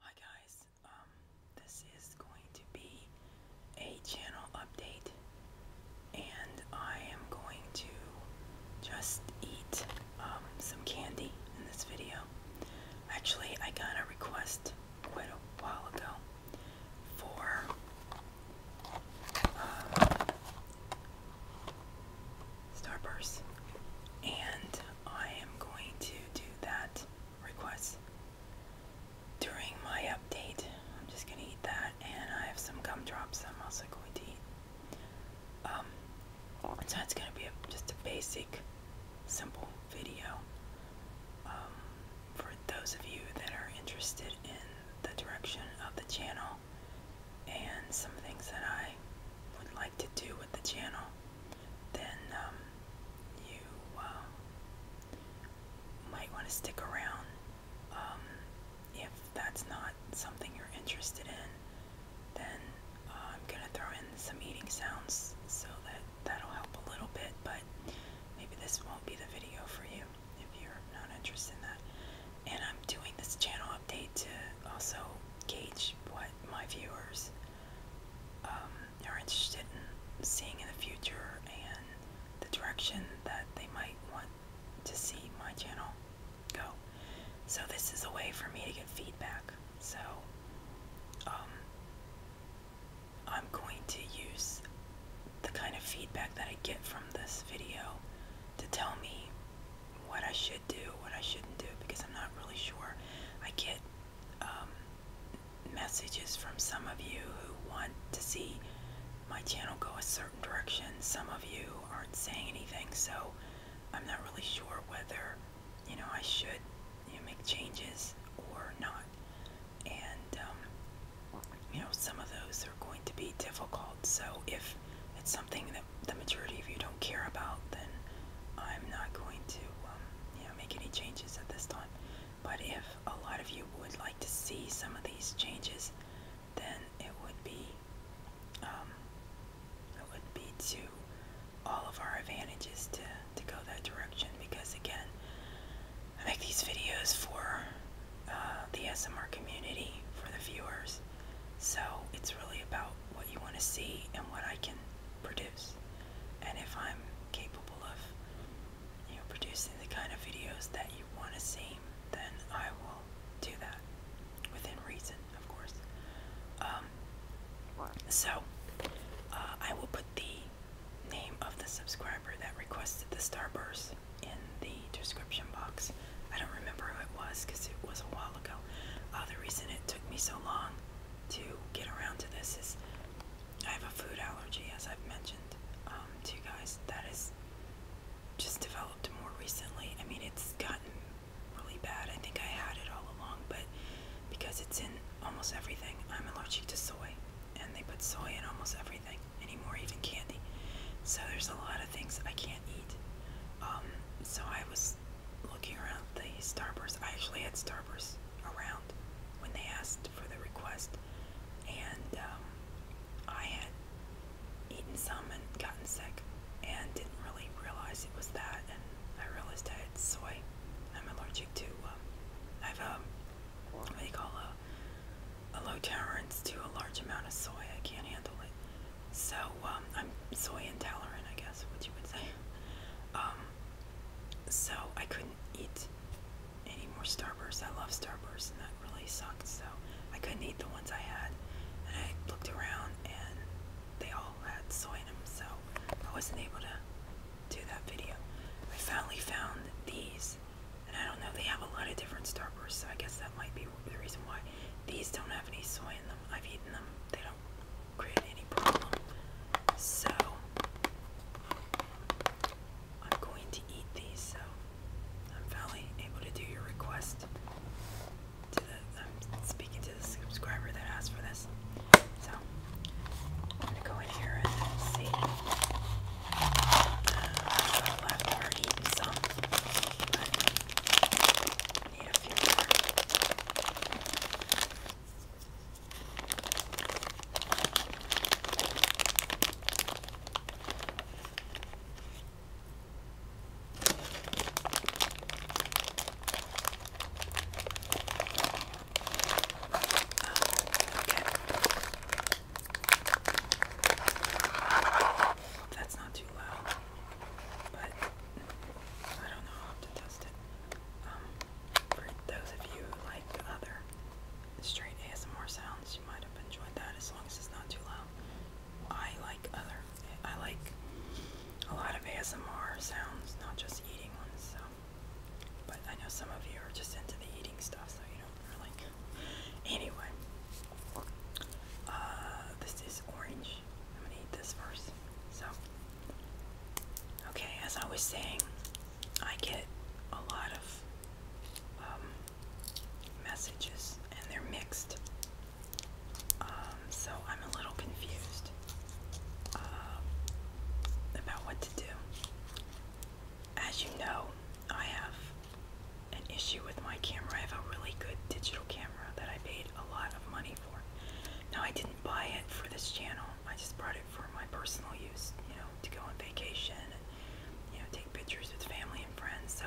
Hi guys, um, this is going to be a channel update and I am going to just eat um, some candy in this video. Actually, I got a request quite a while ago for Starburst. And I am going to do that request during my update. I'm just going to eat that. And I have some gumdrops I'm also going to eat. Um, so it's going to be just a basic, simple video. Um, for those of you that are interested in the direction of the channel and some things that I would like to do with the channel, then um, you uh, might want to stick around. Um, if that's not something you're interested in, then uh, I'm going to throw in some eating sounds so that that'll help a little bit, but maybe this won't be the video for you if you're not interested in that. And I'm doing this channel update to also gauge what my viewers um, are interested in seeing in the future and the direction that they might want to see my channel go. So this is a way for me to get feedback. So um, I'm going to use the kind of feedback that I get from this video to tell me what I should do, what I shouldn't do, because I'm not really sure. I get um, messages from some of you who want to see my channel go a certain direction. Some of you aren't saying anything, so I'm not really sure whether you know I should you know, make changes or not. And um, you know, some of those are going to be difficult so if it's something that the majority of you don't care about, then I'm not going to um, make any changes at this time. But if a lot of you would like to see some of these changes, then it would be um, it would be to all of our advantages to to go that direction because again, I make these videos for uh, the SMR community for the viewers. So it's really about what you want to see and what I can produce, and if I'm capable of you know producing the kind of videos that you want to see, then I will do that within reason, of course. Um, so uh, I will put the name of the subscriber that requested the starburst in the description box. I don't remember who it was because it was a while ago. Uh, the reason it took me so long to get around to this is I have a food allergy, as I've mentioned um, to you guys. That is just developed more recently. I mean, it's gotten really bad. I think I had it all along, but because it's in almost everything, I'm allergic to soy, and they put soy in almost everything anymore, even candy. So there's a lot of things I can't eat. Um, so I was looking around the Starburst. I actually had Starburst around when they asked for the request, and um, I had eaten some and gotten sick, and didn't really realize it was that. And I realized I had soy. I'm allergic to. Um, I have a what do you call a, a low tolerance to a large amount of soy. I can't handle it. So um, I'm soy intolerant, I guess, what you would say. Um, so I couldn't eat any more Starburst. I love Starburst, and that really sucked. So I couldn't eat the ones I had, and I looked around, and they all had soy in them. So I wasn't able to do that video. I finally found these, and I don't know. They have a lot of different Starbursts, so I guess that might be the reason why these don't have any soy in them. I've eaten them. They don't create any problem. So I'm going to eat these. So I'm finally able to do your request. To the, I'm speaking to the subscriber that asked for this. So I'm gonna go in here and see. Uh, I've left or some, Need a few more. Okay. That's not too loud but I don't know, how to test it. Um, for those of you like other straight ASMR sounds, you might have enjoyed that as long as it's not too loud. I like other, I like a lot of ASMR sounds, not just eating ones, so. But I know some of you are just into the eating stuff, so you don't really. Anyway, uh, this is orange. I'm gonna eat this first. So, okay, as I was saying, I get a lot of um, messages and they're mixed. Um, so I'm a little confused um, about what to do. As you know, I have an issue with my camera. I have a really good digital camera that I paid a lot of money for. Now, I didn't buy it for this channel. I just brought it for my personal use, you know, to go on vacation and, you know, take pictures with family and friends. So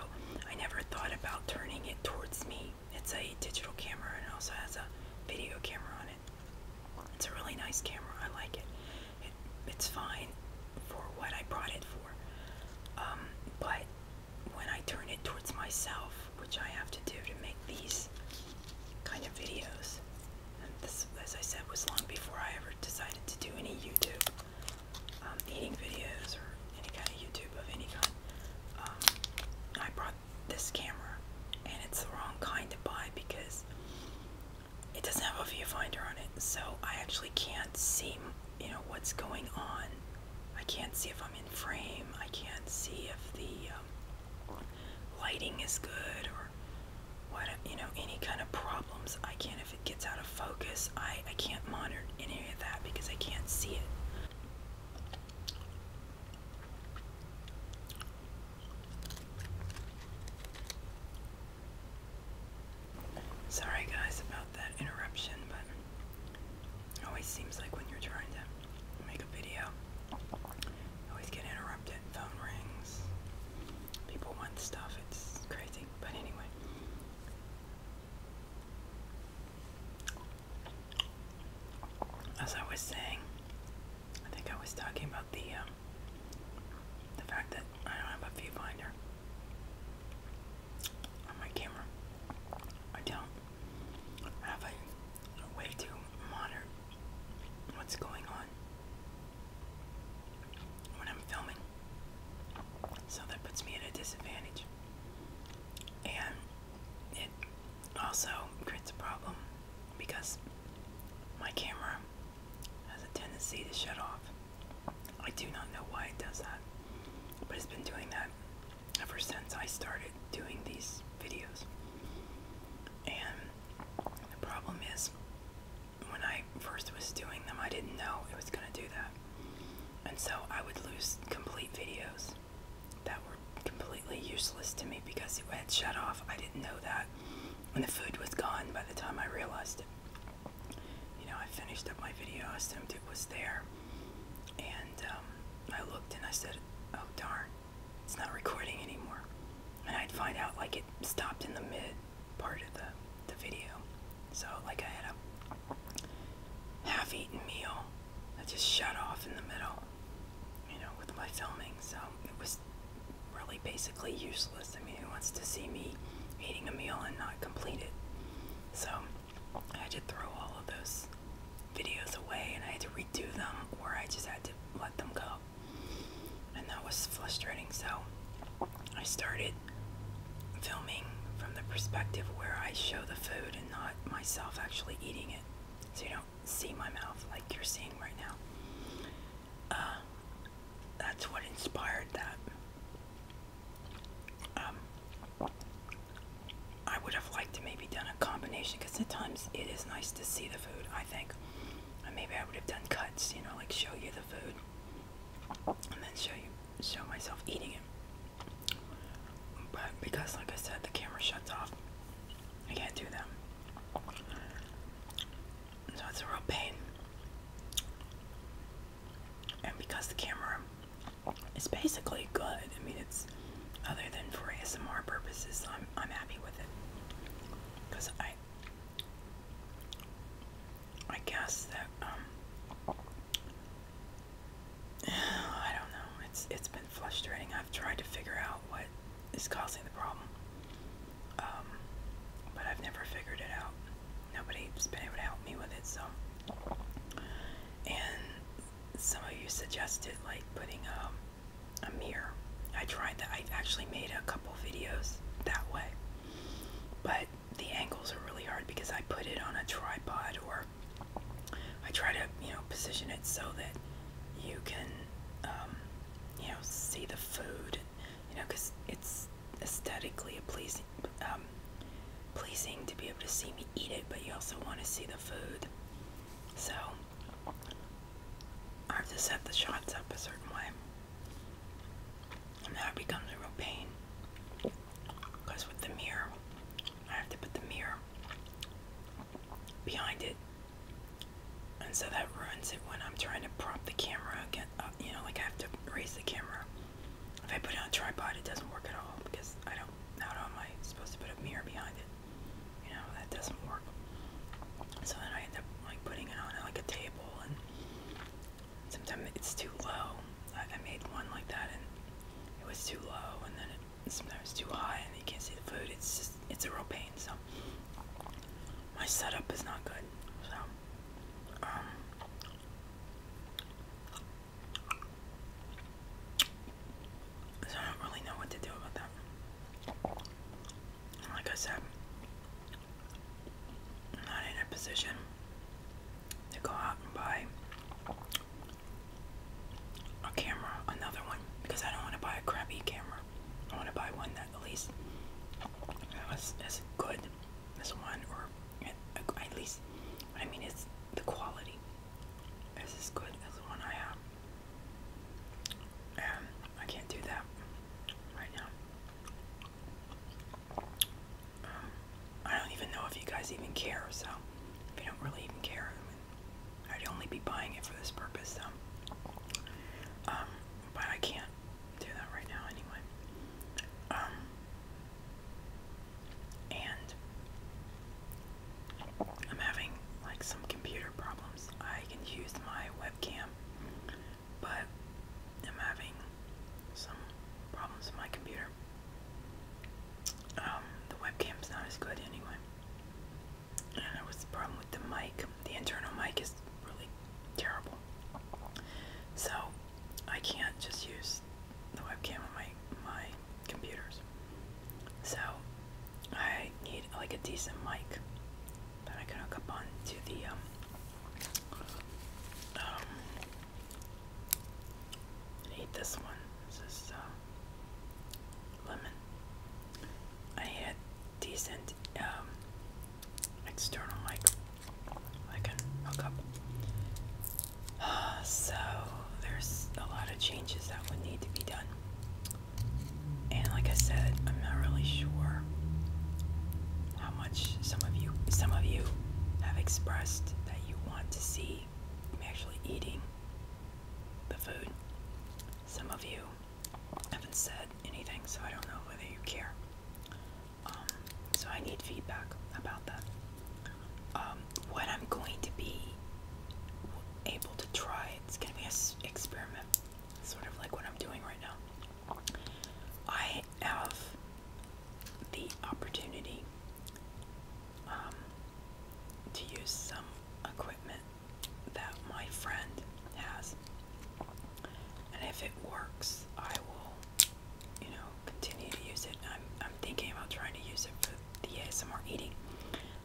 I never thought about turning it towards me. It's a digital camera and also has a video camera on it. It's a really nice camera. I like it. it it's fine for what I brought it for. Um, but when I turn it towards myself, which I have to do to make these kind of videos. And this, as I said, was long before I ever decided to do any YouTube um, eating videos or any kind of YouTube of any kind. Um, I brought this camera, and it's the wrong kind to buy because it doesn't have a viewfinder on it, so I actually can't see you know what's going on. I can't see if I'm in frame. I can't see if the um, lighting is good or you know any kind of problems. I can't if it gets out of focus. I I can't monitor any of that because I can't see it. Sorry guys about that interruption, but it always seems like when you're trying to make a video, always get interrupted. Phone rings. People want stuff. It's crazy. But anyway. As I was saying, I think I was talking about the um, the fact that I don't have a viewfinder on my camera. I don't have a way to monitor what's going on when I'm filming. So that puts me at a disadvantage. And it also creates a problem because my camera has a tendency to shut off. I do not know why it does that, but it's been doing that ever since I started doing these videos. And the problem is, when I first was doing them, I didn't know it was going to do that. And so I would lose complete videos that were completely useless to me because it had shut off. I didn't know that. when the food was gone by the time I realized it. You know, I finished up my video, I assumed it was there. And um, I looked and I said, oh darn, it's not recording anymore. And I'd find out like it stopped in the mid part of the, the video. So like I had a half-eaten meal that just shut off in the middle, you know, with my filming. So it was really basically useless. I mean, who wants to see me eating a meal and not complete it? So I had to throw all of those videos away and I had to redo them or I just had to let them go. And that was frustrating. So I started filming from the perspective where I show the food and not myself actually eating it. So you don't see my mouth like you're seeing right now. Uh, that's what inspired that. Um, I would have liked to maybe done a combination because sometimes it is nice to see the food, I think. maybe I would have done cuts, you know, like show you the food and then show you show myself eating it. But because like I said the camera shuts off, I can't do them. So it's a real pain. And because the camera it's basically good. I mean, it's other than for ASMR purposes, I'm I'm happy with it because I I guess that um I don't know. It's it's been frustrating. I've tried to figure out what is causing the problem, um, but I've never figured it out. Nobody's been able to help me with it, so. And some of you suggested like putting um, a mirror. I tried that. I actually made a couple videos that way, but the angles are really hard because I put it on a tripod or I try to you know position it so that you can um, you know see the food. You know, because it's aesthetically pleasing. Um, pleasing to be able to see me eat it, but you also want to see the food. So I have to set the shots up a certain way. And that becomes a real pain. Because with the mirror, I have to put the mirror behind it. And so that ruins it when I'm trying to prop the camera again up. Uh, you know, like I have to raise the camera. If I put it on a tripod, it doesn't work at all because I don't how am I supposed to put a mirror behind it? You know, that doesn't work. So then I end up like putting it on like a table, and sometimes it's too low. I, made one like that, and it was too low, and then it, sometimes too high, and you can't see the food. It's just it's a real pain. So my setup is not good. So um, so I don't really know what to do about that. And like I said, not in a position to go out and buy a camera, another one, because I don't want to buy a crappy camera. I want to buy one that at least is as good as one, or at least, I mean, it's the quality is good as the one I have. Um, I can't do that right now. Um, I don't even know if you guys even care, so if you don't really even care, I would only be buying it for this purpose, so. Um, but I can't do that right now anyway. Um, and I'm having like some computer problems. I can use my webcam, but I'm having some problems with my computer. Um, the webcam's not as good anyway. And there was the problem with the mic. The internal mic is really terrible. So I can't just use the webcam on my my computers. So I need like a decent mic that I can hook up on to the um, um I need this one. This is uh, lemon. I need decent um, external mic I can hook up so there's a lot of changes that would need to be done. And like I said, I'm not really sure how much some of you some of you have expressed that you want to see me actually eating the food. Some of you haven't said anything, so I don't know whether you care. Um, so I need feedback about that. Um, what I'm going to be able to try. It's going to be an experiment, sort of like what I'm doing right now. I have the opportunity um, to use some equipment that my friend has, and if it works, I will, you know, continue to use it. I'm, I'm thinking about trying to use it for the ASMR eating.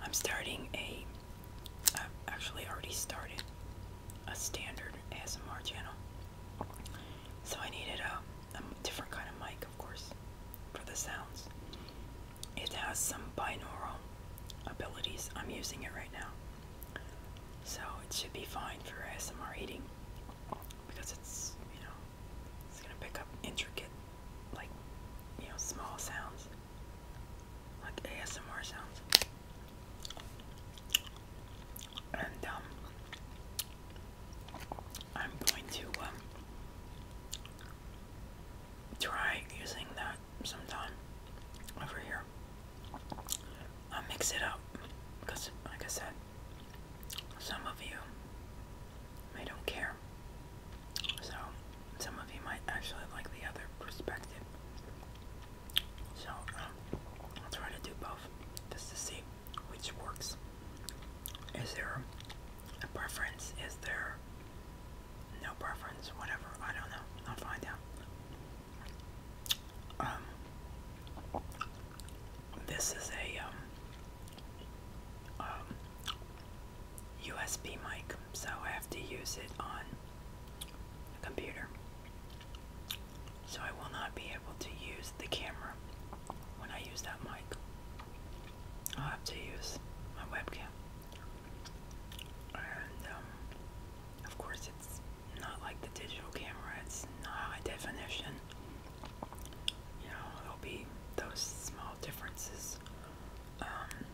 I'm starting a, actually already started a standard ASMR channel. So I needed a, a different kind of mic, of course, for the sounds. It has some binaural abilities. I'm using it right now. So it should be fine for ASMR eating because it's, you know, it's going to pick up intricate like you know small sounds like ASMR sounds and um I'm going to um try using that sometime over here I'll mix it up because like I said some of you I don't care. So, some of you might actually like the other perspective. So, um, I'll try to do both just to see which works. Is there a preference? Is there no preference? Whatever. I don't know. I'll find out. Um, this is a um, um, USB mic, so I have to use it on a computer. So I will not be able to use the camera when I use that mic. I'll have to use my webcam. Um, of course, it's not like the digital camera, it's not high definition. You know, there'll be those small differences um,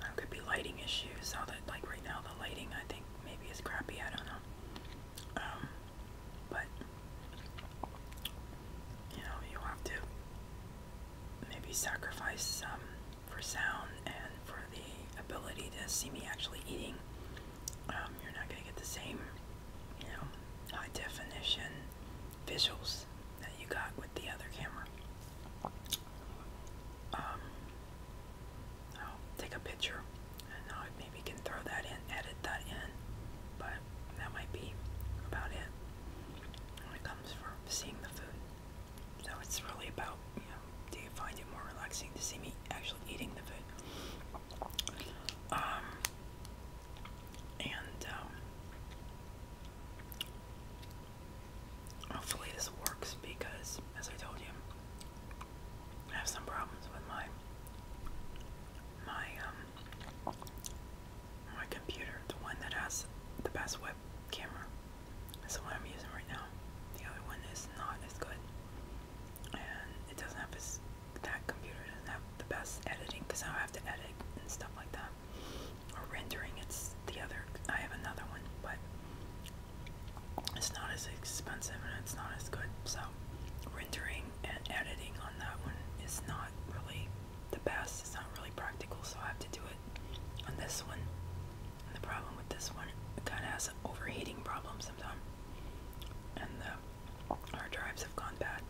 there could be lighting issues. How that, like right now, the lighting I think maybe is crappy. I don't know. Um, but you know, you have to maybe sacrifice some for sound and for the ability to see me actually eating. Um, you're not gonna get the same, you know, high definition visuals that you got with the other camera. Um, take a picture and I maybe can throw that in, edit that in, but that might be about it when it comes for seeing the food. So it's really about, you know, do you find it more relaxing to see me actually eating the food? Um, and um, Hopefully this works because, as I told you, I have some problems with my my um my computer. The one that has the best web camera is the one I'm using right now. The other one is not as good, and it doesn't have as that computer doesn't have the best editing because I have to edit and stuff like that or rendering. It's the other. I have another one, but it's not as expensive and it's not as good. So rendering and editing on that one is not really the best. It's not really practical, so I have to do it on this one. And the problem with this one, it kind of has overheating problems sometimes, and the hard drives have gone bad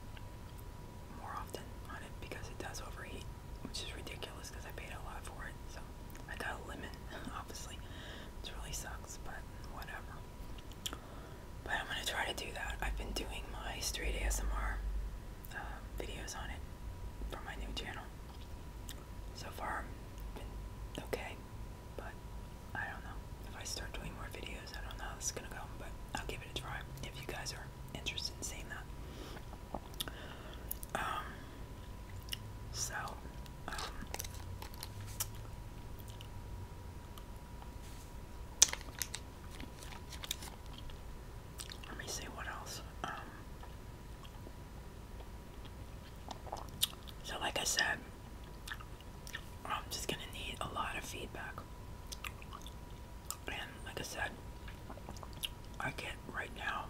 more often on it because it does overheat, which is ridiculous because I paid a lot for it. So I got a lemon, obviously. It really sucks, but whatever. But I'm gonna try to do that. I've been doing my straight ASMR um, videos on it for my new channel. So far, I've been okay, but I don't know. If I start doing more videos, I don't know how this is gonna go, but I'll give it a try. If you guys are interested seeing that. Um, so, um, let me see what else. Um, so, like I said, I'm just gonna need a lot of feedback. And like I said, I get right now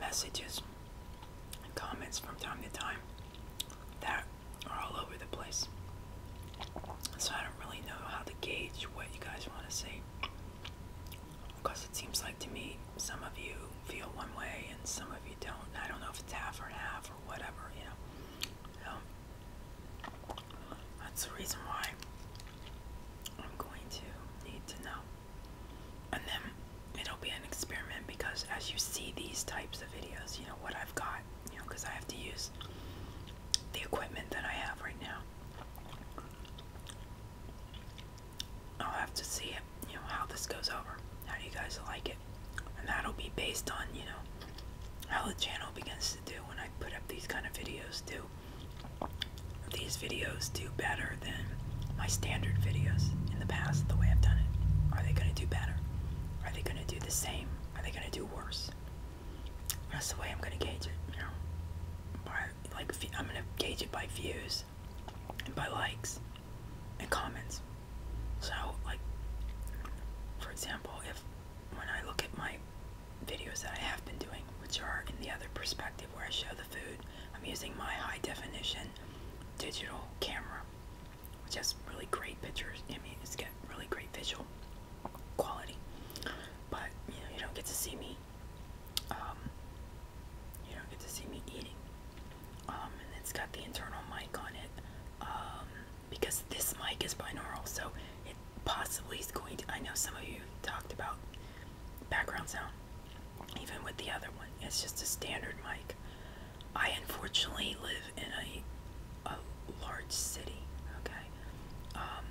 messages and comments from time to time that are all over the place. So I don't really know how to gauge what you guys want to see. Because it seems like to me, some of you feel one way and some of you don't. I don't know if it's half or half or whatever, you know. Um, that's the reason why I'm going to need to know. And then it'll be an experiment because as you see these types of videos, you know, what I've got, you know, because I have to use the equipment that I have right now. I'll have to see it, you know, how this goes over. How do you guys like it? And that'll be based on, you know, how the channel begins to do when I put up these kind of videos too these videos do better than my standard videos in the past, the way I've done it? Are they going to do better? Are they going to do the same? Are they going to do worse? That's the way I'm going to gauge it, you know? like, I'm going to gauge it by views and by likes and comments. So, like, for example, if when I look at my videos that I have been doing, which are in the other perspective where I show the food. I'm using my high definition digital camera, which has really great pictures. I mean, it's got really great visual quality, but you know, you don't get to see me. Um, you don't get to see me eating. Um, and it's got the internal mic on it um, because this mic is binaural, so possibly is going to. I know some of you talked about background sound, even with the other one. It's just a standard mic. I unfortunately live in a, a large city, okay? Um,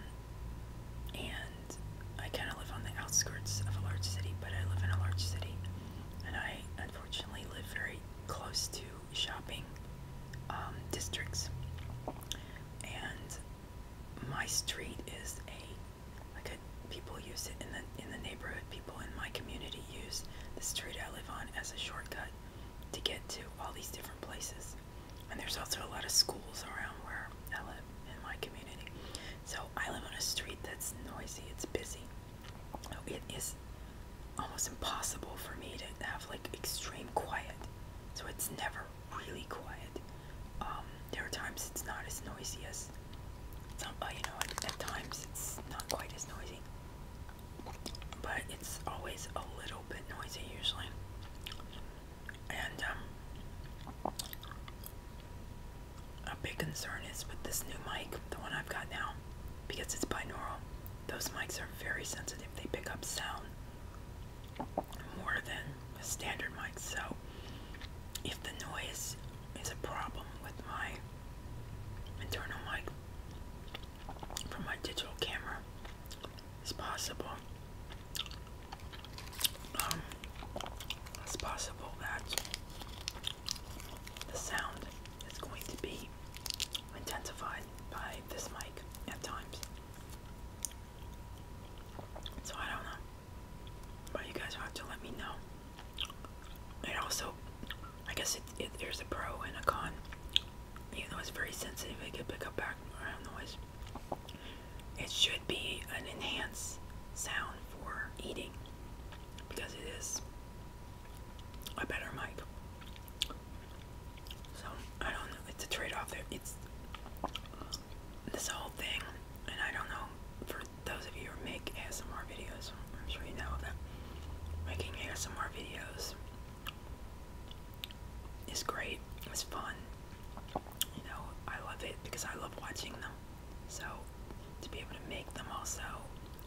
and I kind of live on the outskirts of a large city, but I live in a large city. And I unfortunately live very close to shopping um, districts. And my street is a like people use it in the in the neighborhood. People in my community use the street I live on as a shortcut to get to all these different places. And there's also a lot of schools around where I live in my community. So I live on a street that's noisy. It's busy. It is almost impossible for me to have like extreme quiet. So it's never really quiet. Um, there are times it's not as noisy as, some, uh, you know, at, at times it's not quite as noisy, but it's always a little bit noisy usually. And um, a big concern is with this new mic, the one I've got now, because it's binaural. Those mics are very sensitive. They pick up sound more than a standard mic. So if the noise is a problem with my internal mic from my digital camera, it's possible. Um, it's possible that the sound is going to be intensified by this mic at times. So I don't know. But you guys have to let me know. And also, I guess there's a pro and a con. Even though it's very sensitive, it could pick up background noise. It should be an enhanced sound for eating because it is a better mic. So I don't know. It's a trade-off. There, It's this whole thing, and I don't know for those of you who make ASMR videos, I'm sure you know that making ASMR videos is great, it's fun. You know, I love it because I love watching them. So to be able to make them also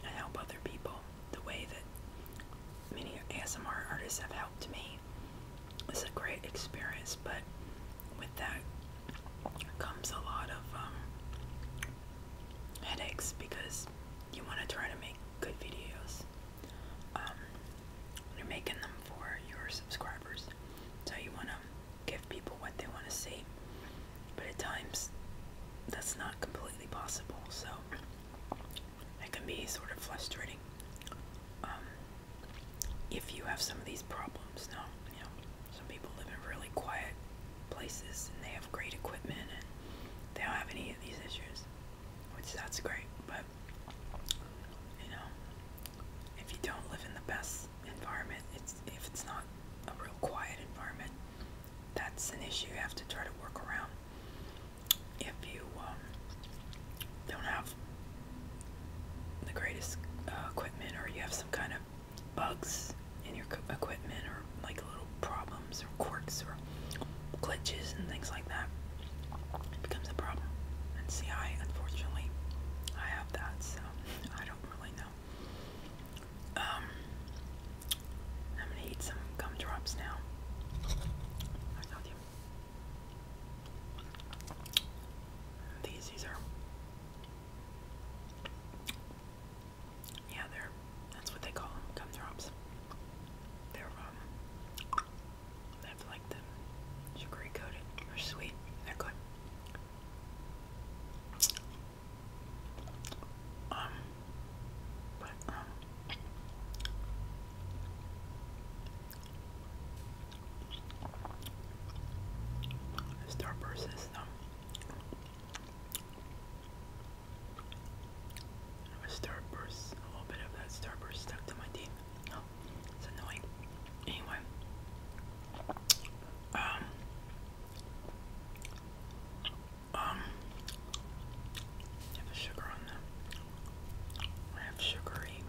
and help other people the way that many ASMR artists have helped me is a great experience, but with that comes a lot of um, headaches because you want to try to make good videos. Um, you're making them for your subscribers, so you want to give people what they want to see. But at times, that's not completely possible, so it can be sort of frustrating. Um, if you have some of these problems. Now, you know, some people live in really quiet places and they have great equipment and they don't have any of these issues, which that's great, but you know, if you don't live in the best environment, it's if it's not a real quiet environment, that's an issue you have to try to work around. If you um, don't have the greatest uh, equipment or you have some kind of bugs in your equipment or like little problems or quirks or glitches and things like that, it becomes a problem. And see, I unfortunately I have that, so I don't really know. Um, I'm gonna eat some gumdrops now. I love you. These, these are. Yeah, they're. That's what they call gumdrops. They're um. They have like the sugary coated. They're sweet. They're good. Um, but um, Starburst is um, a Starburst, a little bit of that Starburst stuck to my teeth. Oh, it's annoying. Anyway, um, um, I have sugar on them. I have sugary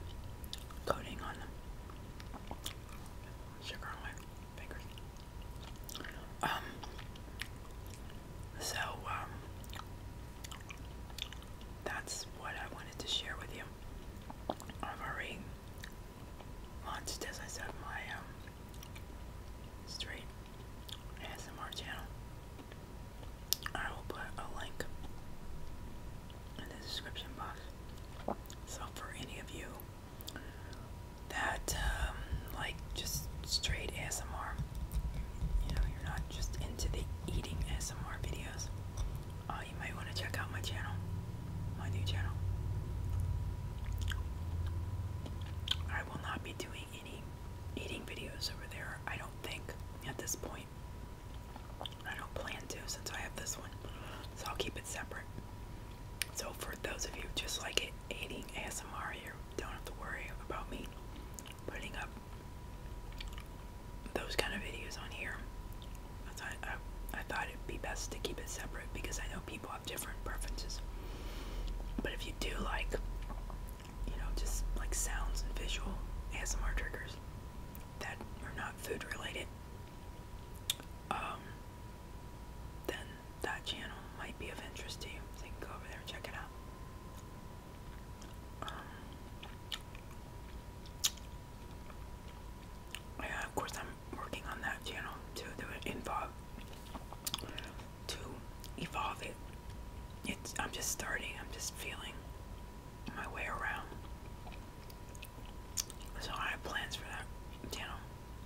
coating on them. Um, so, um, that's what I wanted to share with you. I've already launched, as I said, my, um, straight ASMR channel. I will put a link in the description box. So for any of you that um, like just straight S M R, you know, you're not just into the eating S M R videos, uh, you might want to check out my channel, my new channel. I will not be doing any eating videos over there, I don't think, at this point. I don't plan to since I have this one, so I'll keep it separate. So, for those of you just like eating ASMR, you don't have to worry about me putting up those kind of videos on here. I thought it'd be best to keep it separate because I know people have different preferences. But if you do like, you know, just like sounds and visual ASMR triggers that are not food related, um, then that channel might be of interest to you. you can go over there and check it out. Um, yeah, of course, I'm working on that channel to do it involve to evolve it. It's I'm just starting. I'm just feeling my way around. So I have plans for that, channel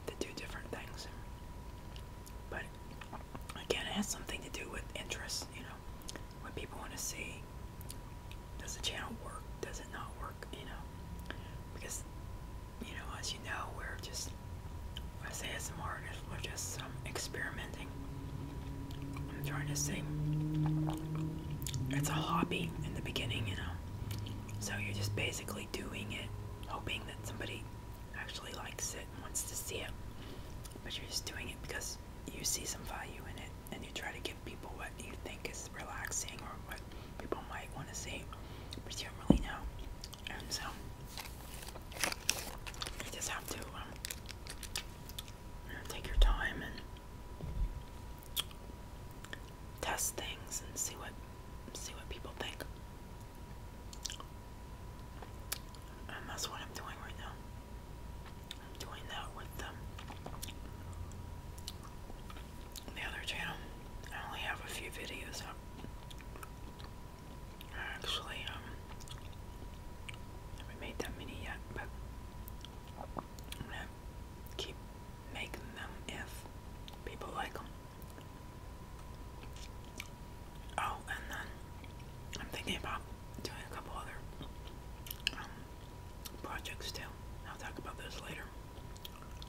to do different things. But again, it has something to do with interest, you know, what people want to see. Does the channel work? Does it not work? You know, because, you know, as you know, we're just, I say as some artists, we're just um, experimenting. I'm trying to say, it's a hobby in the beginning, you know. So you're just basically doing it, hoping that somebody actually likes it and wants to see it. But you're just doing it because you see some value in it and you try to give people what you think is relaxing or what people might want to see, but you don't really know. And so you just have to um, take your time and test things and see what see what people think. that's what I'm doing right now. doing that with them. Um, the other channel, I only have a few videos up. Actually, um, haven't made that many yet, but I'm gonna keep making them if people like them. Oh, and then I'm thinking about doing a couple other um, projects too. I'll talk about those later.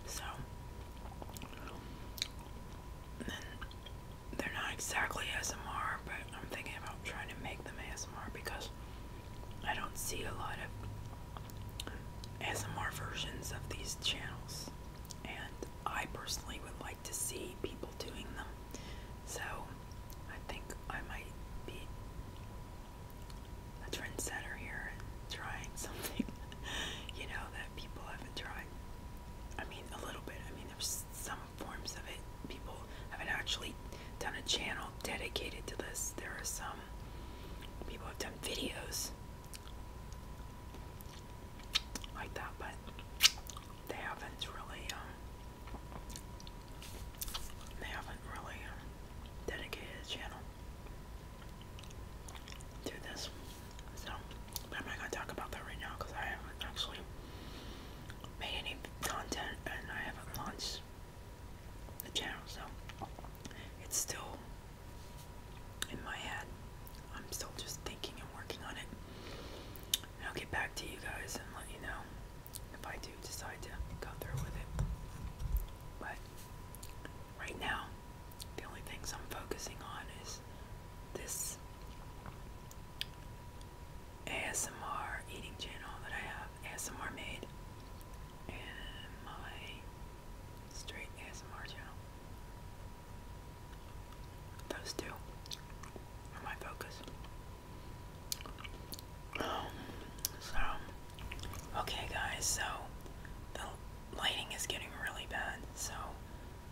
So, then they're not exactly ASMR, but I'm thinking about trying to make them ASMR because I don't see a lot of ASMR versions of these channels, and I personally would like to see people doing them. So I think I might be a trendsetter here and trying something, you know, that people haven't tried. I mean, a little bit. I mean, there's some forms of it. People haven't actually done a channel dedicated to this. There are some people have done videos like that, but they haven't really, um, they haven't really um, dedicated a channel to this. So, I'm not gonna talk about that right now because I haven't actually made any content and I haven't launched the channel, so it's still in my head. I'm still just thinking and working on it. I'll get back to you guys and let you know if I do decide to go through with it. But right now, the only things I'm focusing on is this ASMR eating channel that I have, ASMR made, and my straight ASMR channel. Those two are my focus. Um, so, okay, guys, so the lighting is getting really bad, so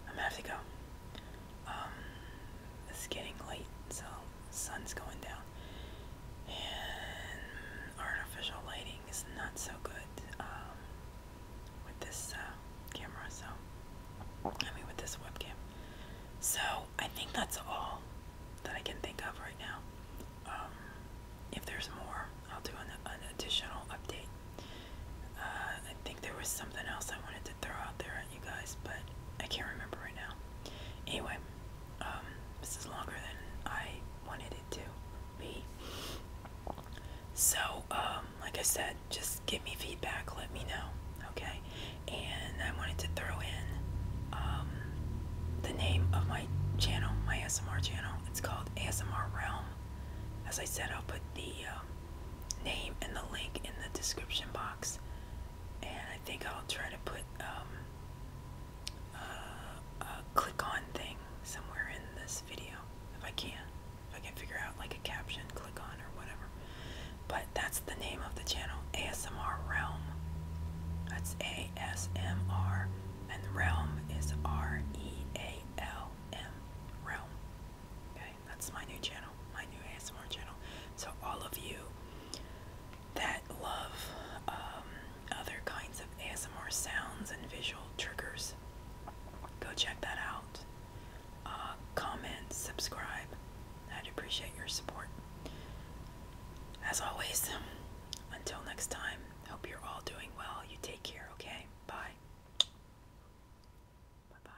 I'm gonna have to go. Um, it's getting late, so the sun's going down, and artificial lighting is not so good. Um, with this uh, camera so I mean with this webcam so I think that's all that I can think of right now um, if there's more I'll do an, additional update uh, I think there was something else I wanted to throw out there at you guys but I can't remember right now anyway um, this is longer than I wanted it to so, um, like I said, just give me feedback, let me know, okay? And I wanted to throw in um, the name of my channel, my ASMR channel. It's called ASMR Realm. As I said, I'll put the um, name and the link in the description box. And I think I'll try to put uh, a click on thing somewhere in this video if I can. If I can figure out like a caption, click on or whatever. But that's the name of the channel, ASMR Realm. That's A S M R and Realm is R E A L M Realm. Okay, that's my new channel, my new ASMR channel. So all of you that love um, other kinds of ASMR sounds and visual triggers. Go check that out. Uh, comment, subscribe. I'd appreciate your support. As always, until next time, hope you're all doing well. You take care, okay? Bye. Bye bye.